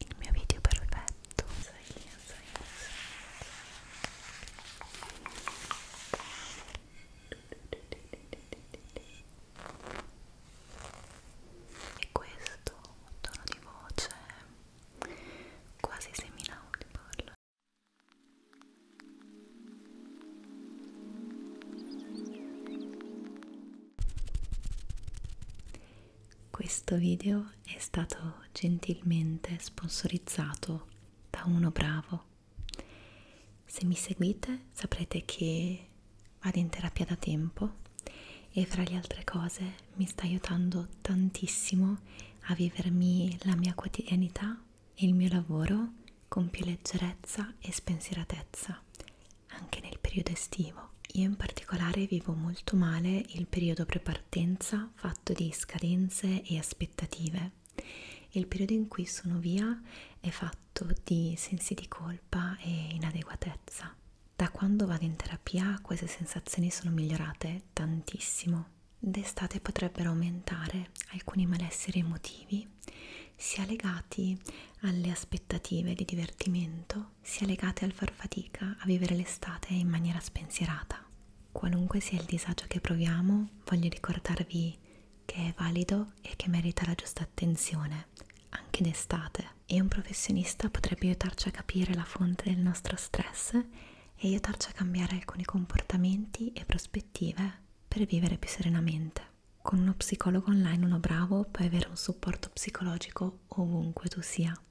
il mio video perfetto e questo tono di voce quasi semi-audible questo video è stato gentilmente sponsorizzato da uno bravo. Se mi seguite saprete che vado in terapia da tempo e fra le altre cose mi sta aiutando tantissimo a vivermi la mia quotidianità e il mio lavoro con più leggerezza e spensieratezza, anche nel periodo estivo io in particolare vivo molto male il periodo prepartenza fatto di scadenze e aspettative. Il periodo in cui sono via è fatto di sensi di colpa e inadeguatezza. Da quando vado in terapia queste sensazioni sono migliorate tantissimo. D'estate potrebbero aumentare alcuni malesseri emotivi, sia legati alle aspettative di divertimento credo sia legata al far fatica a vivere l'estate in maniera spensierata. Qualunque sia il disagio che proviamo, voglio ricordarvi che è valido e che merita la giusta attenzione, anche d'estate. E un professionista potrebbe aiutarci a capire la fonte del nostro stress e aiutarci a cambiare alcuni comportamenti e prospettive per vivere più serenamente. Con uno psicologo online, uno bravo, puoi avere un supporto psicologico ovunque tu sia persona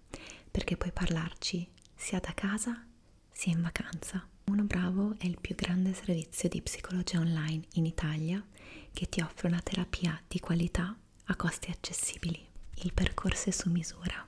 perché puoi parlarci sia da casa sia in vacanza. Uno Bravo è il più grande servizio di psicologia online in Italia che ti offre una terapia di qualità a costi accessibili. Il percorso è su misura.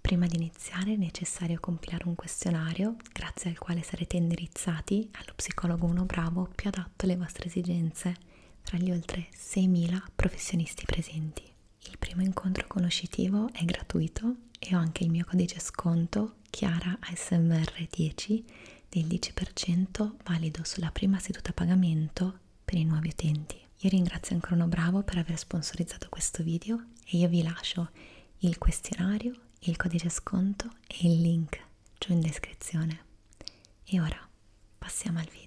Prima di iniziare è necessario compilare un questionario grazie al quale sarete indirizzati allo psicologo Uno Bravo più adatto alle vostre esigenze tra gli oltre 6.000 professionisti presenti. Il primo incontro conoscitivo è gratuito e ho anche il mio codice sconto Chiara ASMR10 del 10% valido sulla prima seduta a pagamento per i nuovi utenti. Io ringrazio Ancrono Bravo per aver sponsorizzato questo video e io vi lascio il questionario, il codice sconto e il link giù in descrizione. E ora passiamo al video.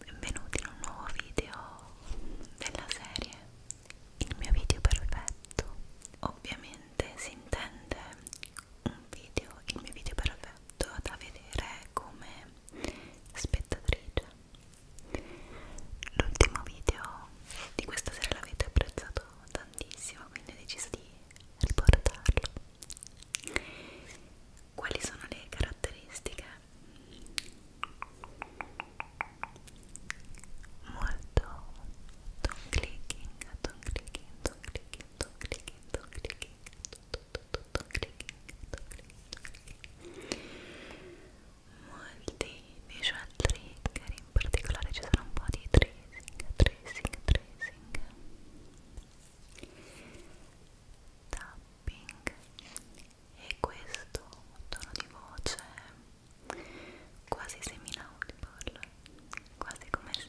Benvenuti in un nuovo video della serie Il mio video perfetto Ovviamente si intende un video, il mio video perfetto da vedere come spettatrice L'ultimo video di questa sera l'avete apprezzato tantissimo quindi ho deciso di riportarlo quali sono le caratteristiche? Molto don't clicking, don't clicking, don't clicking, don't clicking, don't clicking, don't clicking, don't clicking. Molti visual trigger, in particolare ci sono un po' di tracing, tracing, tracing tapping e questo tono di voce quasi semi-inaudible quasi come se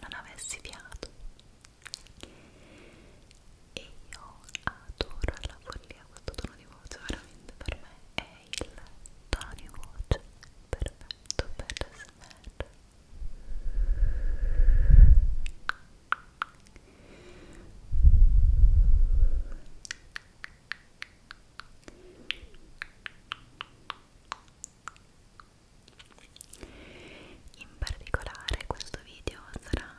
non avessi fiato e io adoro alla follia questo tono di voce veramente per me è il tono di voce perfetto per l'SMR in particolare questo video sarà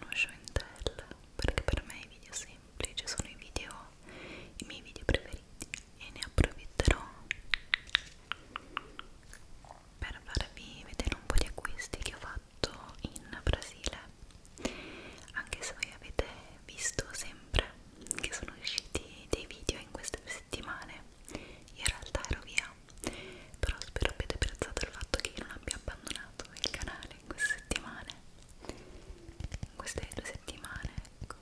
uno show and tell perché per me i video semplici sono i video i miei video preferiti e ne approfitterò per farvi vedere un po' di acquisti che ho fatto in Brasile anche se voi avete visto sempre che sono usciti dei video in queste settimane in realtà ero via però spero abbiate apprezzato il fatto che io non abbia abbandonato il canale in queste settimane in queste due settimane ecco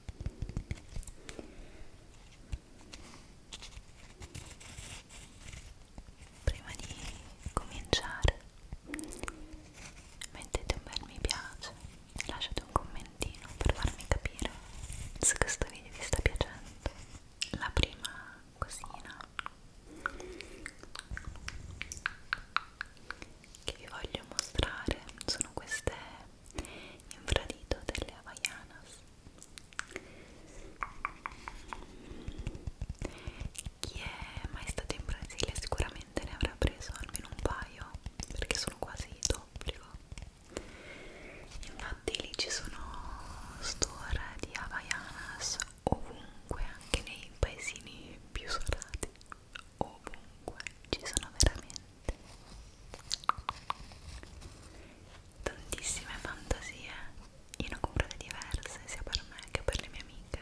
prima di cominciare mettete un bel mi piace e lasciate un commentino per farmi capire se questo video vi sta piacendo la prima cosina che vi voglio mostrare sono queste infradito delle Havaianas chi è mai stato in Brasile sicuramente ne avrà preso almeno un paio perché sono quasi d'obbligo. Infatti lì ci sono store di Havaianas ovunque, anche nei paesini più solati, ovunque ci sono veramente tantissime fantasie in occupate diverse sia per me che per le mie amiche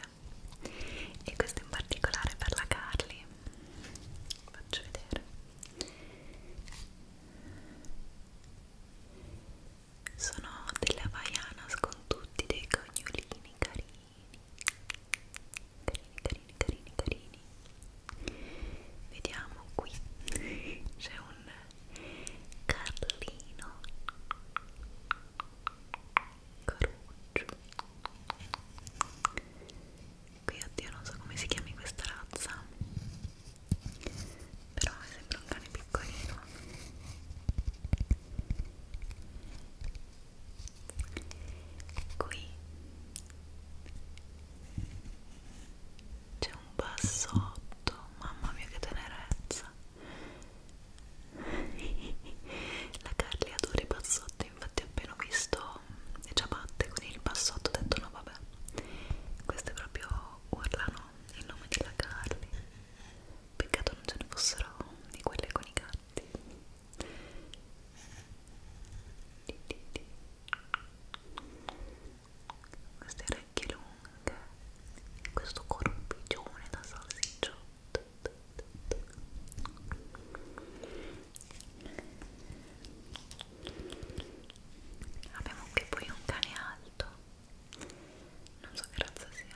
e questo in particolare per la Carly faccio vedere sono delle Havaianas con tutti dei cognolini carini carini carini carini carini vediamo qui c'è un Carlino Caruccio qui oddio non so come si chiami questa razza però mi sembra un cane piccolino qui c'è un bassotto mamma mia che tenerezza la Carly adora i bassotti infatti appena ho visto le ciabatte con il bassotto ho detto no vabbè queste proprio urlano il nome della Carly peccato non ce ne fossero di quelle con i gatti di, di, di queste orecchie lunghe e questo corpiccione da salsiccio abbiamo qui poi un cane alto non so che razza sia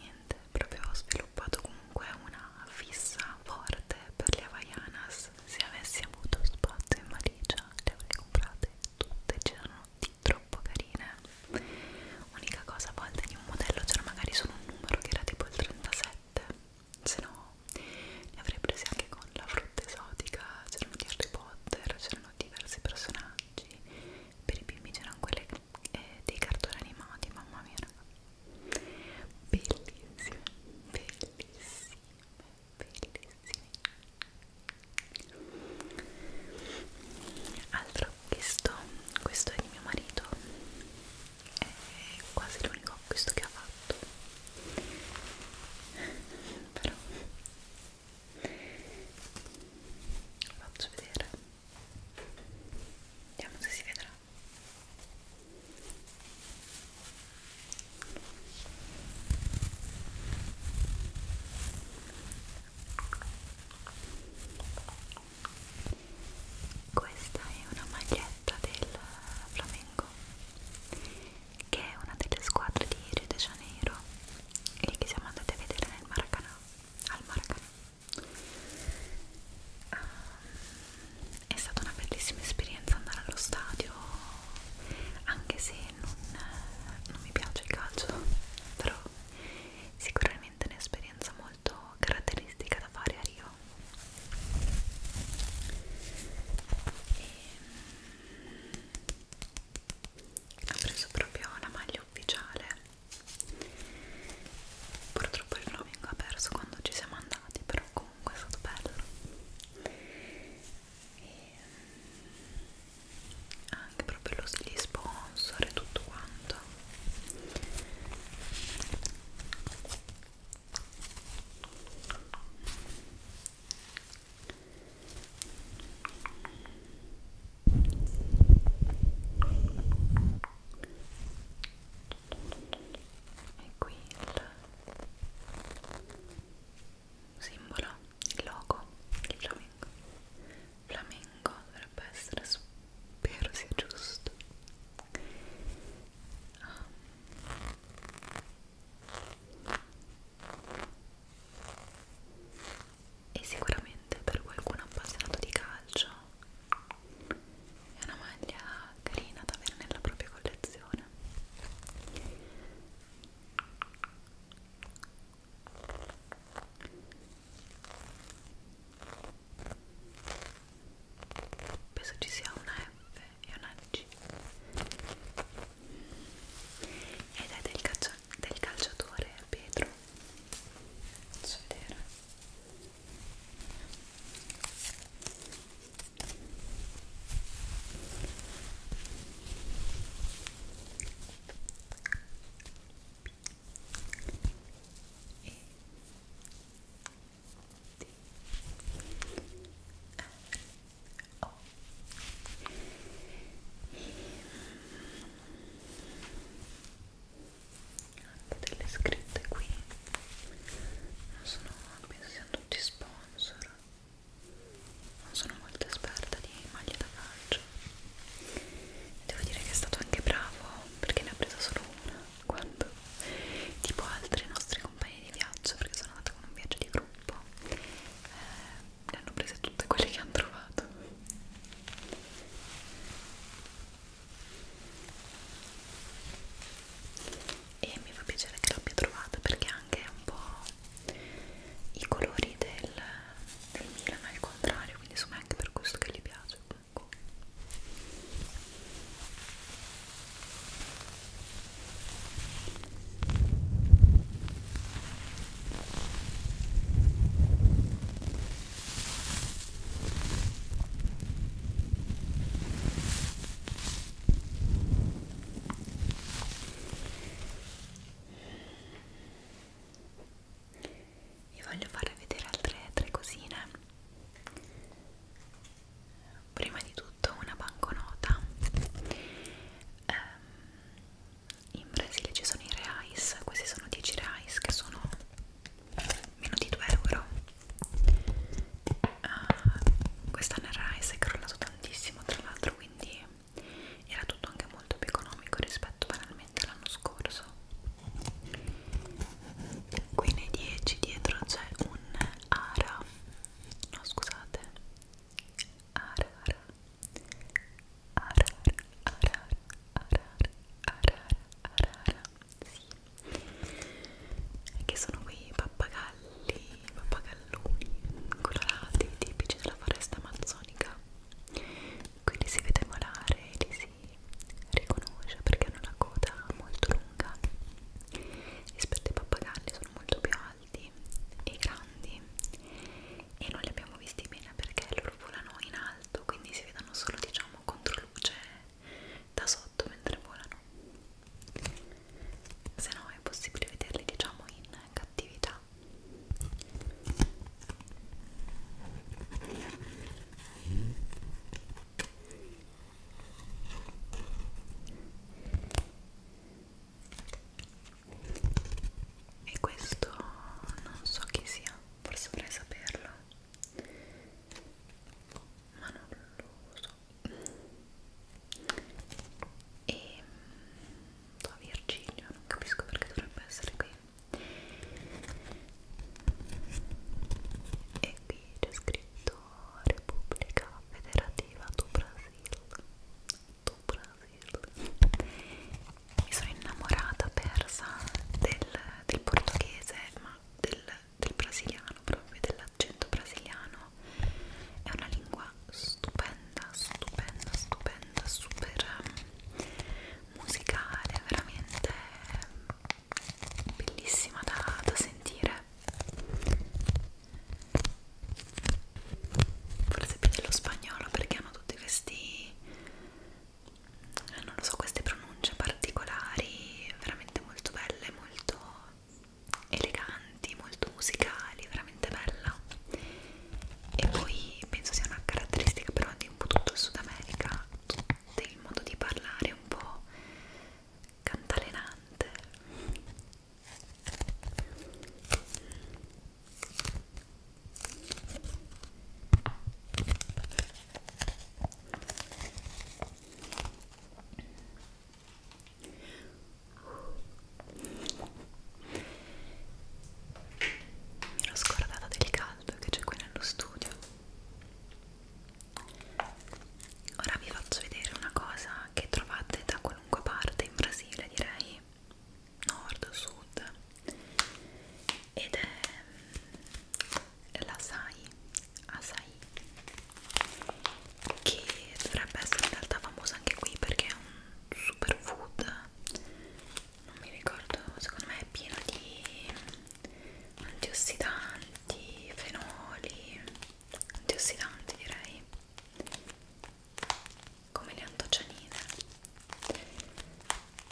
Niente, proprio ho sviluppato comunque una fissa forte per le Havaianas Rolex se avessi avuto spazio in valigia le avrei comprate tutte c'erano di troppo carine unica cosa a volte di un modello c'era magari solo un numero che era tipo il 37 se no ne avrei presi anche con la frutta esotica c'erano di Harry Potter c'erano diversi personaggi per i bimbi c'erano quelle eh, dei cartoni animati mamma mia raga bellissime bellissime bellissimi altro acquisto questo è di mio marito è quasi l'unico acquisto che ha fatto però lo faccio vedere vediamo se si vedrà questa è una maglietta del Flamengo, che è una delle squadre di Rio de Janeiro e che siamo andati a vedere nel Maracanã, al Maracanã. Um, è stata una bellissima esperienza andare allo stadio anche se non, non mi piace il calcio però sicuramente è un'esperienza molto caratteristica da fare a Rio e, ho preso proprio la maglia ufficiale purtroppo il Flamingo ha perso quando ci siamo andati però comunque è stato bello e anche proprio lo, gli sponsor e tutto quanto e qui il simbolo, il logo, il flamingo flamingo dovrebbe essere, spero sia giusto um. e sicuramente per qualcuno appassionato di calcio è una maglia carina da avere nella propria collezione penso ci sia una F e una G ed è del, calcio del calciatore Pedro faccio vedere anche delle scritte qui non sono, penso siano tutti sponsor non sono molto esperta di maglie da calcio devo dire che è stato anche bravo perché ne ha presa solo una quando tipo altri nostri compagni di viaggio perché sono andata con un viaggio di gruppo eh, ne hanno prese tutte quelle che hanno trovato e mi fa piacere che l'abbia trovata perché anche un po' i colori del, del Milan al contrario quindi insomma è anche per questo che gli piace comunque ecco vi voglio fare vedere altre tre cosine prima di tutto una banconota um, in Brasile ci sono i reais questi sono 10 reais che sono meno di 2 euro uh, ah, quest'anno il reais è crollato tantissimo tra l'altro quindi quindi era tutto anche molto più economico rispetto banalmente all'anno scorso qui nei 10 dietro c'è un ara no scusate ara ara ara ara ara ara ara ara sì che sono quei pappagalli pappagalli, pappagalloni colorati tipici della foresta amazzonica quindi si vede volare e li si riconosce perché hanno una coda molto lunga rispetto ai pappagalli sono molto più alti e grandi e non li abbiamo visti bene perché loro volano in alto quindi si vedono solo diciamo contro luce da sotto mentre volano se no è impossibile vederli diciamo in cattività e questo non so chi sia, forse vorrei saperlo ma non lo so e da mm, oh, Virgilio, non capisco perché dovrebbe essere qui e qui c'è scritto Repubblica Federativa do Brasil do Brasil mi sono innamorata persa del, del portoghese ma del, del brasiliano proprio dell'accento brasiliano italiano è una lingua stupenda, stupenda, stupenda, super ehm, musicale, veramente bellissima da, da sentire forse più dello spagnolo perché hanno tutti questi eh, non lo so, queste pronunce particolari veramente molto belle, molto eleganti, molto musicali, veramente bella e poi penso sia una caratteristica però di un po' tutto il Sud America del modo di parlare un po' cantalenante mi ero scordata del caldo che c'è qui nello studio. Ora vi faccio vedere una cosa che trovate da qualunque parte in Brasile, direi nord, sud, ed è l'asai, asai, che dovrebbe essere in realtà famosa anche qui perché è un superfood non mi ricordo secondo me è pieno di antiossidanti fenoli antiossidanti direi come le antocianine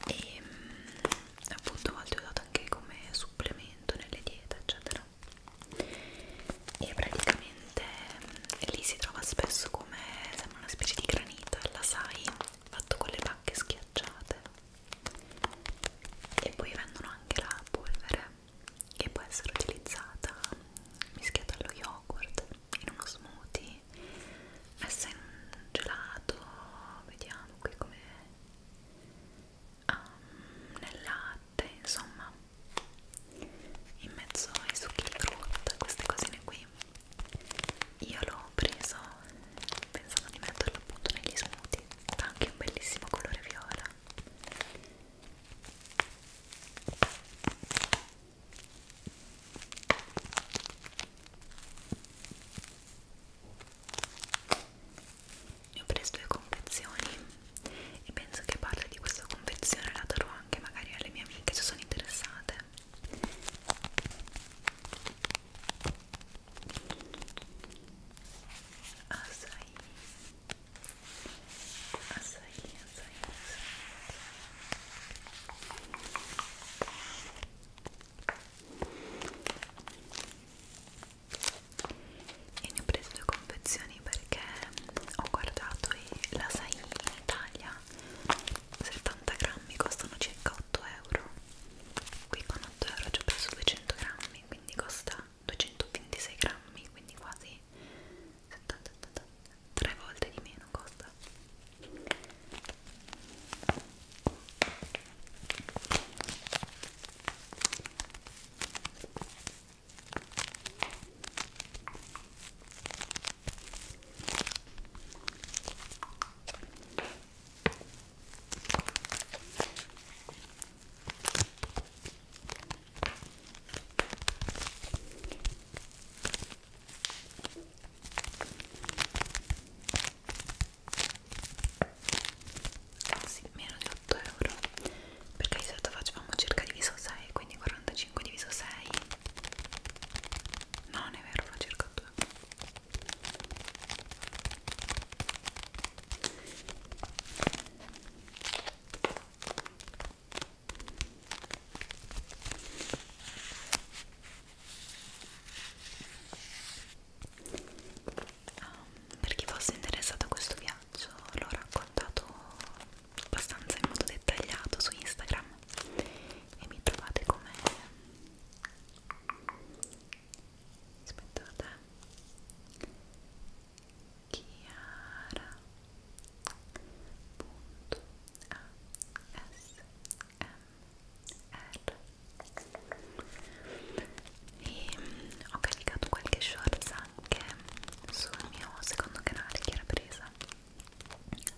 e mm, appunto a volte ho dato anche come supplemento nelle diete eccetera e praticamente mm, lì si trova spesso come sembra una specie di granita alla sai fatto con le pacche schiacciate e poi vendono anche la polvere che può essere utilizzata mm, mischiata allo yogurt in uno smoothie messa in un gelato vediamo qui come um, nel latte insomma in mezzo ai succhi di frutta, queste cosine qui. Io l'ho preso pensando di metterlo appunto negli smoothie, ha anche un bellissimo colore viola. Ne ho preso due confezioni e penso che parli di questa confezione la Taro anche magari alle mie amiche se sono interessate Asai Asai Asai e ne ho preso due confezioni perché ho guardato e eh, la sai in Italia 70 grammi costano circa 8 euro qui con 8 euro ci ho preso 200 grammi quindi costa 226 grammi quindi quasi 70, 70, 3 volte di meno costa sì, meno di 8 euro perché di solito faccio facevamo circa diviso 6 quindi 45 diviso 6 no non è vero fa circa 2 Um, ehm, per chi fosse interessato a questo viaggio l'ho raccontato abbastanza in modo dettagliato su Instagram e mi trovate come aspettate Chiara punto a s m r e mm, ho caricato qualche shorts anche sul mio secondo canale che era presa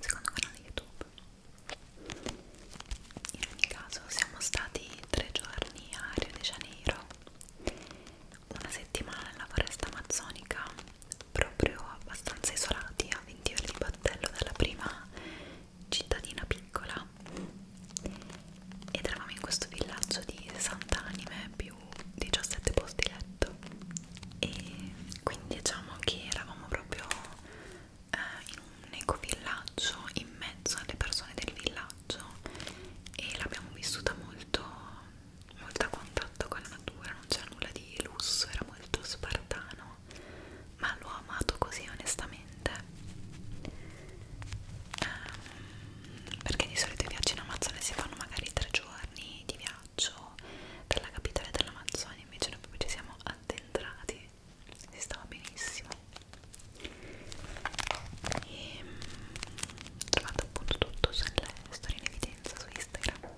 secondo canale youtube in ogni caso siamo stati tre giorni a Rio de Janeiro una settimana nella foresta amazzonica proprio abbastanza isolati a 20 ore di battello dalla prima cittadina piccola ed eravamo in questo villaggio di 60 anime più 17 posti letto e quindi diciamo che eravamo proprio eh, in un ecovillaggio in mezzo alle persone del villaggio e l'abbiamo vissuta molto molto a contatto con la natura non c'era nulla di lusso era molto spartano ma l'ho amato così onestamente ehm, perché di solito i viaggi in Amazon si fanno magari tre giorni di viaggio viaggio per la capitale dell'Amazzonia invece noi proprio ci siamo addentrati si stava benissimo e mm, trovate appunto tutto sulle storie in evidenza su Instagram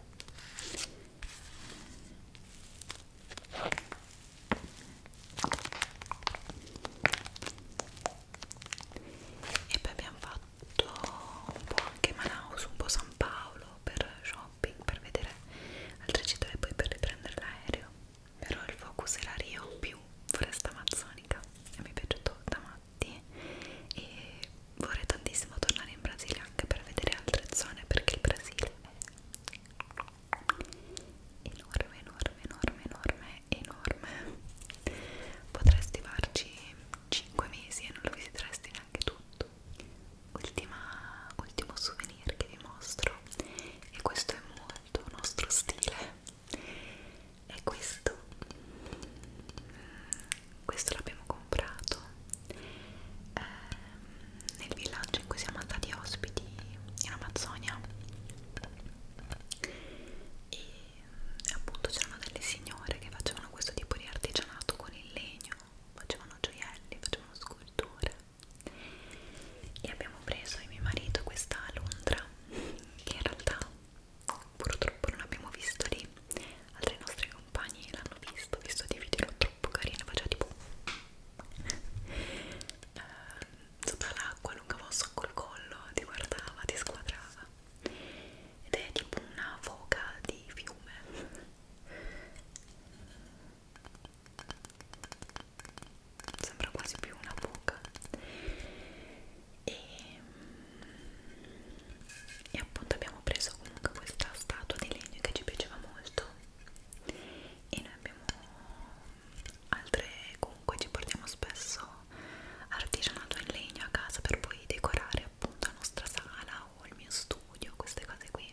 e poi abbiamo fatto un po' anche Manaus, un po' San Paolo per shopping, per vedere altre città e poi per riprendere l'aereo però il focus era Rio più foresta amazzonica e mi è piaciuto da matti e vorrei tantissimo tornare in Brasile anche per vedere altre zone perché il Brasile è enorme, enorme, enorme, enorme, enorme potresti farci 5 mesi e non lo visiteresti neanche tutto Ultima, ultimo souvenir che vi mostro e questo è molto nostro stile è questo mm, questo l'abbiamo comprato eh, nel villaggio in cui siamo andati ospiti in Amazzonia e appunto c'erano delle signore che facevano questo tipo di artigianato con il legno facevano gioielli, facevano sculture e abbiamo preso io e mio marito questa Londra che in realtà purtroppo non abbiamo visto lì altri nostri compagni l'hanno visto, visto dei video troppo carini faceva tipo eh, sotto l'acqua allungava un sacco il collo ti guardava, ti squadrava ed è tipo una foca di fiume sembra quasi più una buca e, mm, e appunto abbiamo preso comunque questa statua di legno che ci piaceva molto e noi abbiamo altre comunque ci portiamo spesso artigianato in legno a casa per poi decorare appunto la nostra sala o il mio studio queste cose qui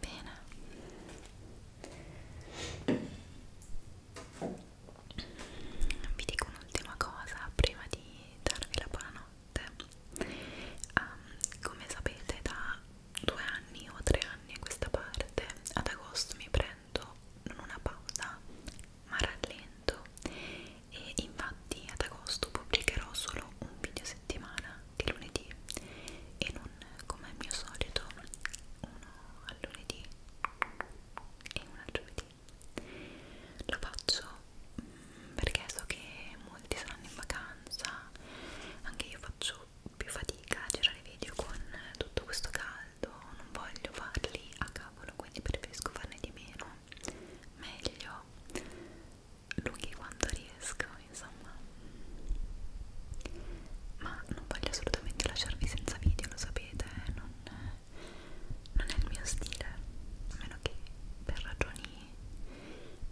Bene, vi dico un'ultima cosa prima di darvi la buonanotte. Um, come sapete, da due anni o tre anni a questa parte, ad agosto mi prendo prendo non una pausa ma rallento e infatti ad agosto pubblicherò solo un video a settimana di lunedì e non come al mio solito uno al lunedì e uno al giovedì lo faccio mm, perché so che molti saranno in vacanza anche io faccio più fatica a girare video con tutto questo caldo non voglio farli a cavolo quindi preferisco farne di meno meglio lunghi quanto riesco insomma ma non voglio assolutamente lasciarvi senza video lo sapete eh, non, non è il mio stile a meno che per ragioni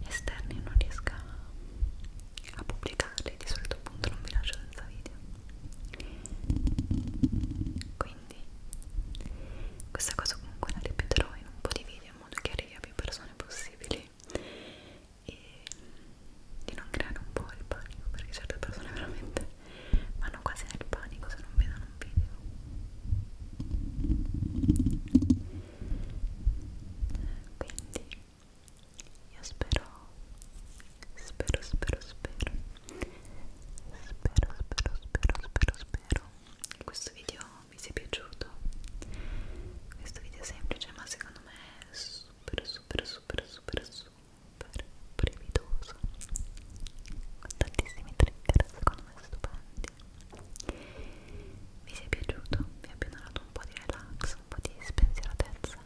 esterne non riesca a pubblicarli di solito appunto non vi lascio senza video quindi questa cosa comunque la ripeterò in un po' di video in modo che arrivi a più persone possibili e di non creare un po' il panico perché certe persone veramente vanno quasi nel panico se non vedono un video quindi io spero, spero, spero, spero, spero, spero, spero, spero, spero che questo video vi sia piaciuto. Questo video è semplice, ma secondo me è super, super, super, super, super brividoso. Con tantissimi trigger, secondo me stupendi. Vi sia piaciuto, vi abbia donato un po' di relax, un po' di spensieratezza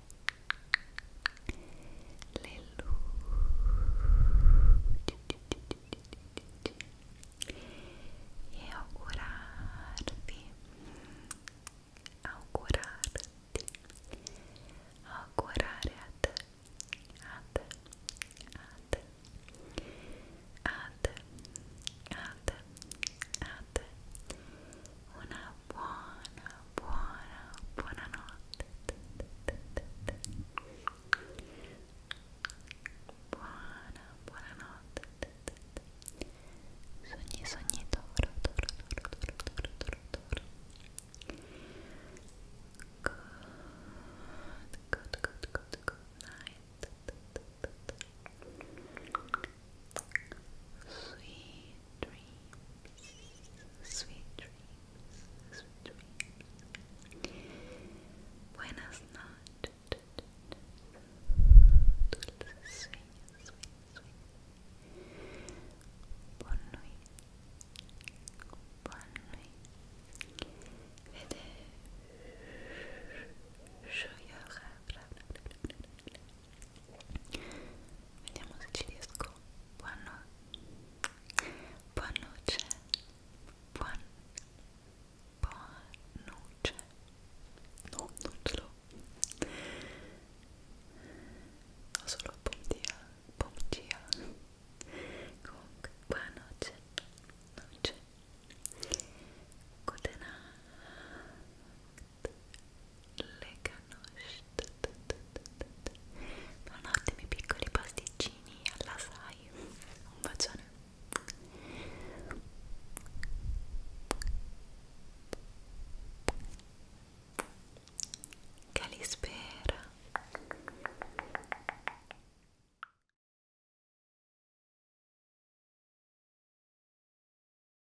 le e augurarvi augurarti augurare a te a te a te Una buona, buona, buonanotte. Buona, buonanotte. Sogni, sogni, toro, toro, toro, toro, toro, toro, toro. good, good, good, good night. Sweet dreams, sweet dreams, sweet dreams. Buenas noches. Dulces sweet, sweet. Bonne nuit. Bonne nuit. Vediamo se ci riesco. Buonanotte. Buonanotte. Buon... Buonanotte. No, non ce l'ho. Ho solo buon dia. Buon dia. Comunque, buonanotte. Notte. Good night le canoche sono ottimi piccoli pasticcini alla sai un bacione Calispera